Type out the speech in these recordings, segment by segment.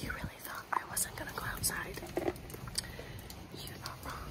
You really thought I wasn't gonna go outside. You're not wrong.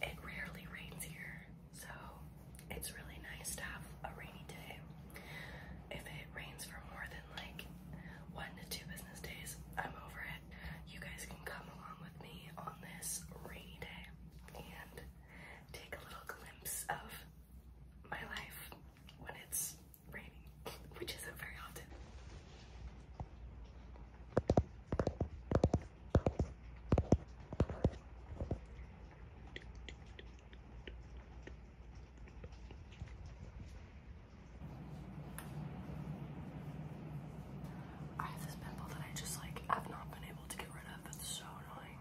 It rarely rains here, so it's really nice to have a rainy day. If it rains for more than like one to two business days, I'm over it you guys can come along with me on this rainy day and take a little glimpse of my life when it's raining, which isn't very often. I have this pimple that I just like i have not been able to get rid of. It's so annoying.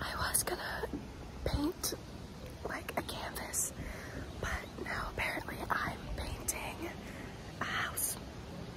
I was gonna paint like a canvas, but now apparently I'm painting a house.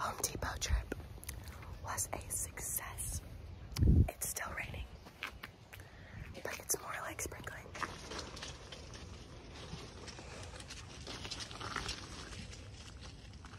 Home Depot trip was a success. It's still raining, but it's more like sprinkling.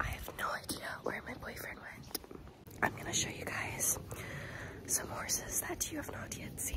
I have no idea where my boyfriend went. I'm gonna show you guys some horses that you have not yet seen.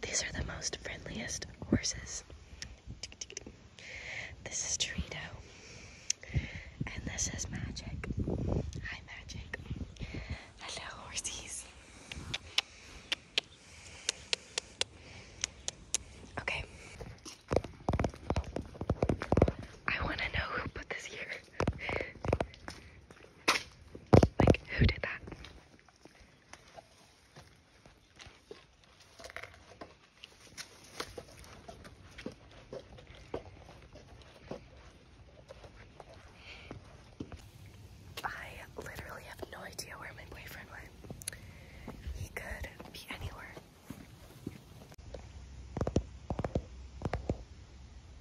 These are the most friendliest horses. This is Trito, And this is Magic. Hi, Magic. Hello, horsies. Okay. I want to know who put this here like, who did that? I literally have no idea where my boyfriend went. He could be anywhere.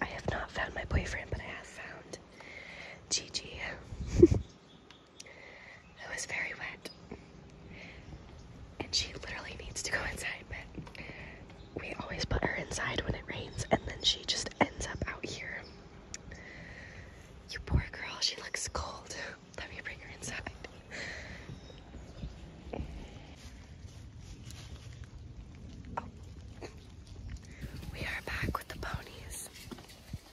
I have not found my boyfriend, but I have found Gigi. It was very wet. And she literally needs to go inside, but we always put her inside when it rains, and then she just ends up out here. You poor girl, she looks cold. Let me bring her inside. Oh. We are back with the ponies.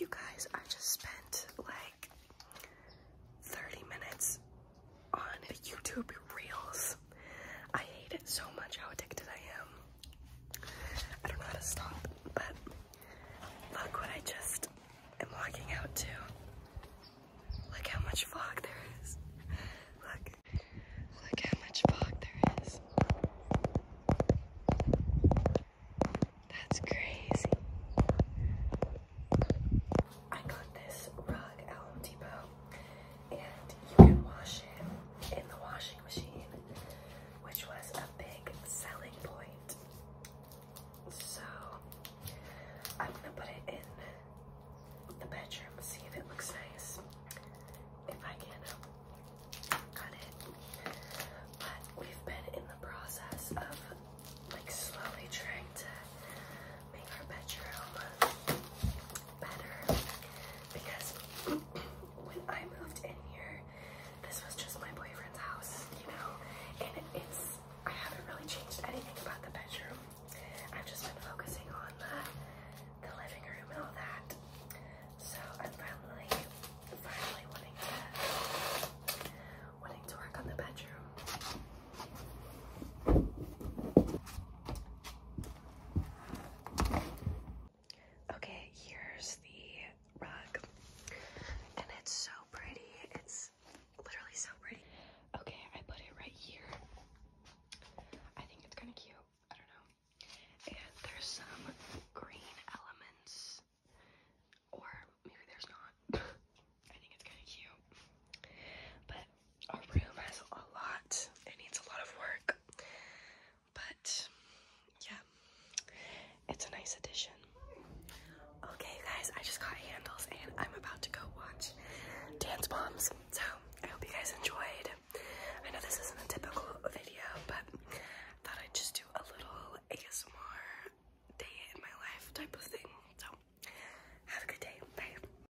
You guys, I just spent like 30 minutes on YouTube Reels. I hate it so much how addicted I am. I don't know how to stop, but look what I just am walking out to. Look how much fog there is. Look. Look how much fog there is. That's crazy. I got this rug at Home Depot and you can wash it in the washing machine, which was a big selling point. So I'm gonna put it in the bedroom, see if it looks nice. If I can cut it. But we've been in the process of like slowly trying to make our bedroom better because when I moved in here, this was just my boyfriend's house, you know, and it's I haven't really changed anything about the bedroom. I've just been focusing on the the living room and all that. So I'm finally finally wanting to wanting to work on the bedroom. Okay, here's the rug. And it's so pretty. It's literally so pretty. Okay, I put it right here. I think it's kind of cute. I don't know. And there's some green elements. Or maybe there's not. I think it's kind of cute. But our room has a lot. It needs a lot of work. But yeah, it's a nice addition. Okay, guys, I just got handles and I'm about to go watch Dance Moms. So I hope you guys enjoyed. I know this isn't a typical video, but I thought I'd just do a little ASMR day in my life type of thing. So have a good day. Bye.